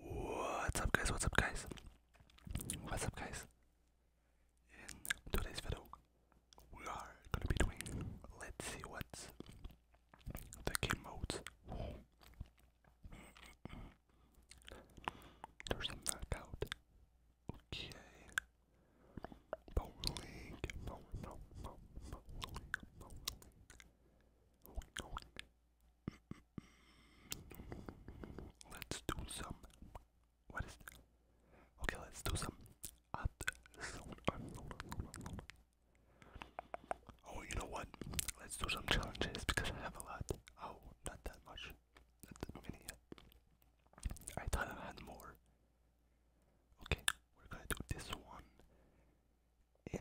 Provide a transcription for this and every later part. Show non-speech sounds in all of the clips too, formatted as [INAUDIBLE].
What's up guys, what's up guys? What's up guys? In today's video, we are gonna be doing let's see what's the game modes. There's some knockout. Okay. Let's do some. What is Okay, let's do some. Oh, you know what? Let's do some challenges because I have a lot. Oh, not that much. Not many yet. I thought I had more. Okay, we're gonna do this one in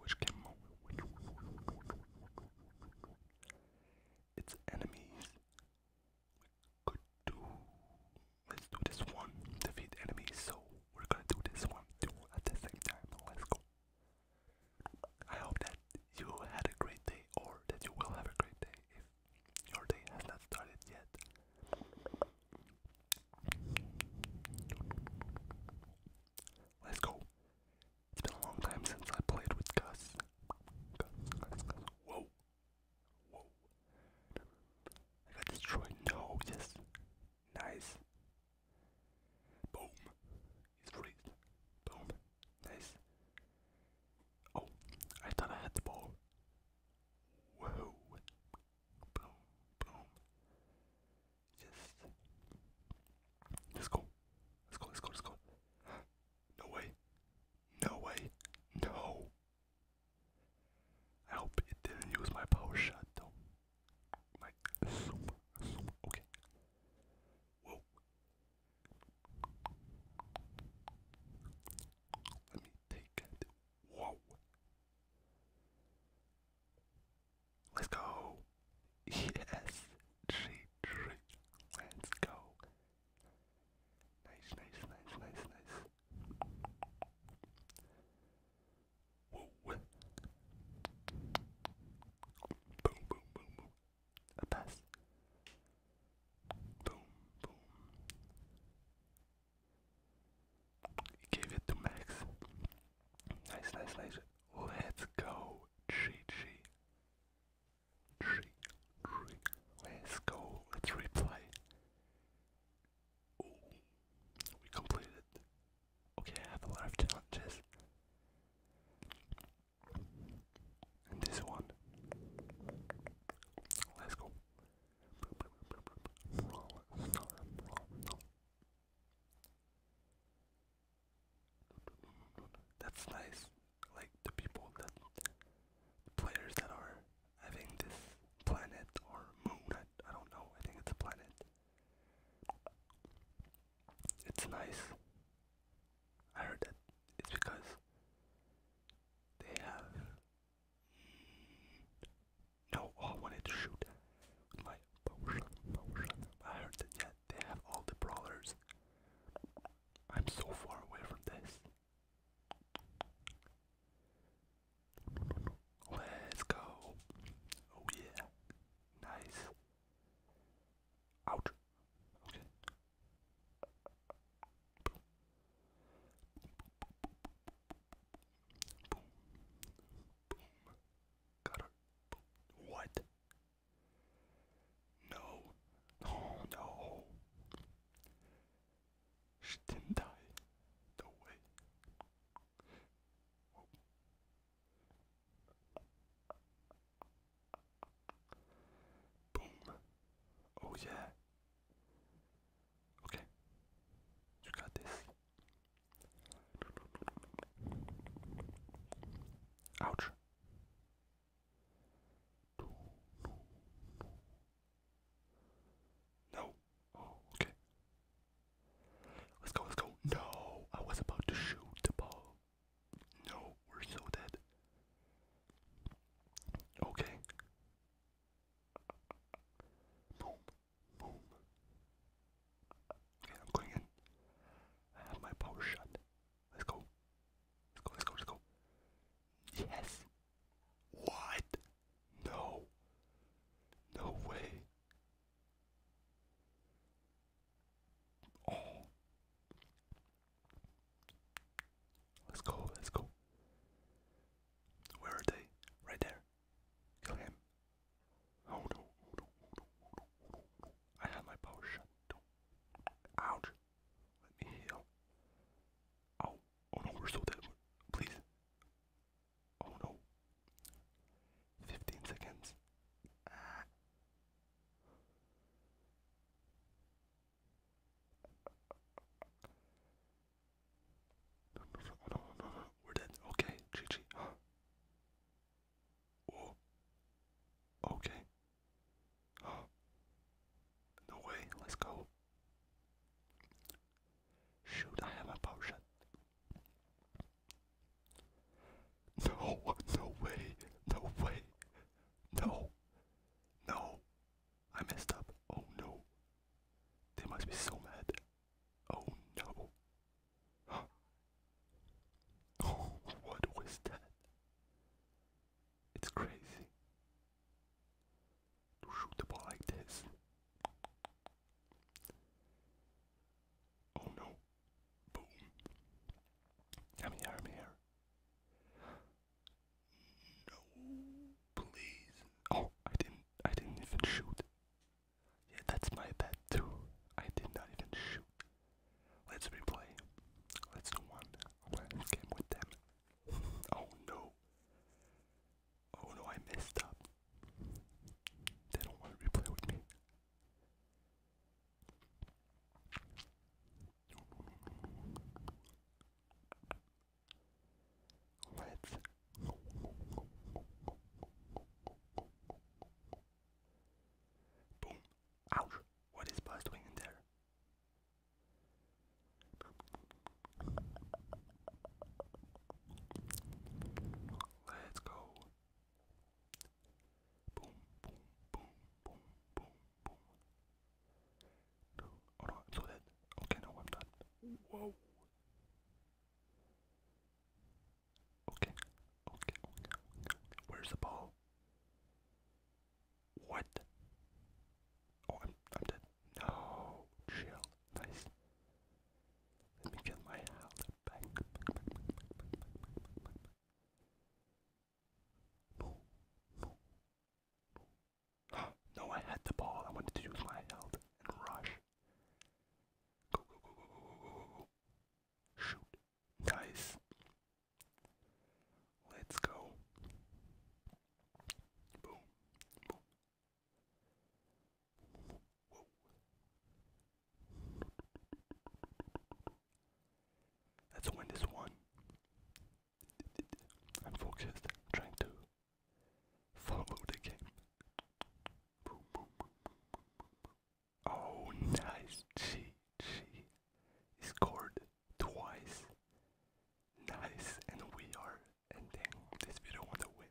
which can its enemies. could do let's do this one, defeat enemies, so we're gonna do this one at the same time. Let's go. I hope that you had a great day or that you will have a great day if your day has not started yet. Let's go. It's been a long time since I played with Gus. Whoa. Whoa. I got destroyed. No, yes. Nice. Boom. He's freezed. Boom. Nice. Oh, I thought I had the ball. Whoa. Boom, boom. Just let's go. Let's go. Let's go. Let's go. No way. No way. No. I hope it didn't use my power shot though. Okay. Let me take it. Let's go. Yes, tree, tree. Let's go. Nice, nice, nice, nice, nice. Whoa. Boom, boom, boom, boom. pass. Boom, boom. He gave it to Max. Nice, nice, nice. Let's go. GG. GG. Let's go. Let's replay. Ooh. We completed Okay, I have a lot of challenges. this one. Let's go. That's nice. Like the people that the players that are having this planet or moon, I, don't know, I think it's a planet. It's nice. I heard that it's because they have mm, no, oh, I wanted to shoot my potion, potion. I heard that yeah, they have all the brawlers. I'm so far away from this. Let's go. Oh yeah. Nice. Ouch. Okay. Boom. Boom. Boom. Got her. What? No. Oh, no. She didn't way. Boom. Oh yeah. Okay. You got this. Ouch. No. Oh, okay. Let's go, let's go. No, I was about to shoot the ball. No, we're so dead. Okay. Boom, boom. Okay, I'm going in. I have my power shot. Let's go. Let's go, let's go, let's go. Yes! What? No. No way. Oh. Let's go, let's go. Where are they? Right there. Kill him. Hold on, hold on, hold on, hold on, hold on. I have my power shut. Don't. Ouch. Let me heal. Oh, oh no, we're still dead. Please. Oh no. 15 seconds. Ah. No, no, no, no, no, no, we're dead. Okay, GG. Huh. Oh. Okay. Oh. [GASPS] No way, let's go. Shoot, I have a potion. No, no way, no way, no, no, I messed up. Oh no, they must be so mad. Oh no, Oh, [GASPS] what was that? It's crazy to shoot the ball like this. Oh no. Boom. I'm here, I'm here. No, please. Oh, I didn't I didn't even shoot. Yeah, that's my bad too. I did not even shoot. Let's replay. Let's do one last game with them. oh no. Oh no, I messed up. They don't want to replay with me. Let's. Boom. Ouch. What is Buzz doing in there? Let's go. Boom, boom, boom, boom, boom, boom. oh no, I'm Okay, no, I'm not. Whoa. Okay. Okay. Okay. Okay. Where's the ball? What? Oh, I'm I'm dead. No, chill. Nice. Let me get my health back. No, no, no. [GASPS] no, I had the ball. I wanted to use my health and rush. Go, go, go, go, go, go, go, go. Shoot. Nice. let's go. Boom. Boom. Whoa. this one. I'm focused. I'm trying to follow the game. boom. Oh, nice. She, she scored twice. Nice, and we are ending this video on a win.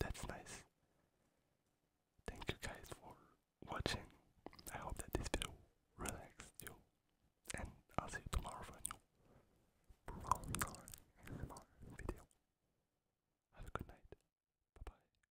That's nice. Thank you guys for watching. I hope that this video relaxed you. And I'll see you tomorrow for a new video. Have a good night. Bye bye.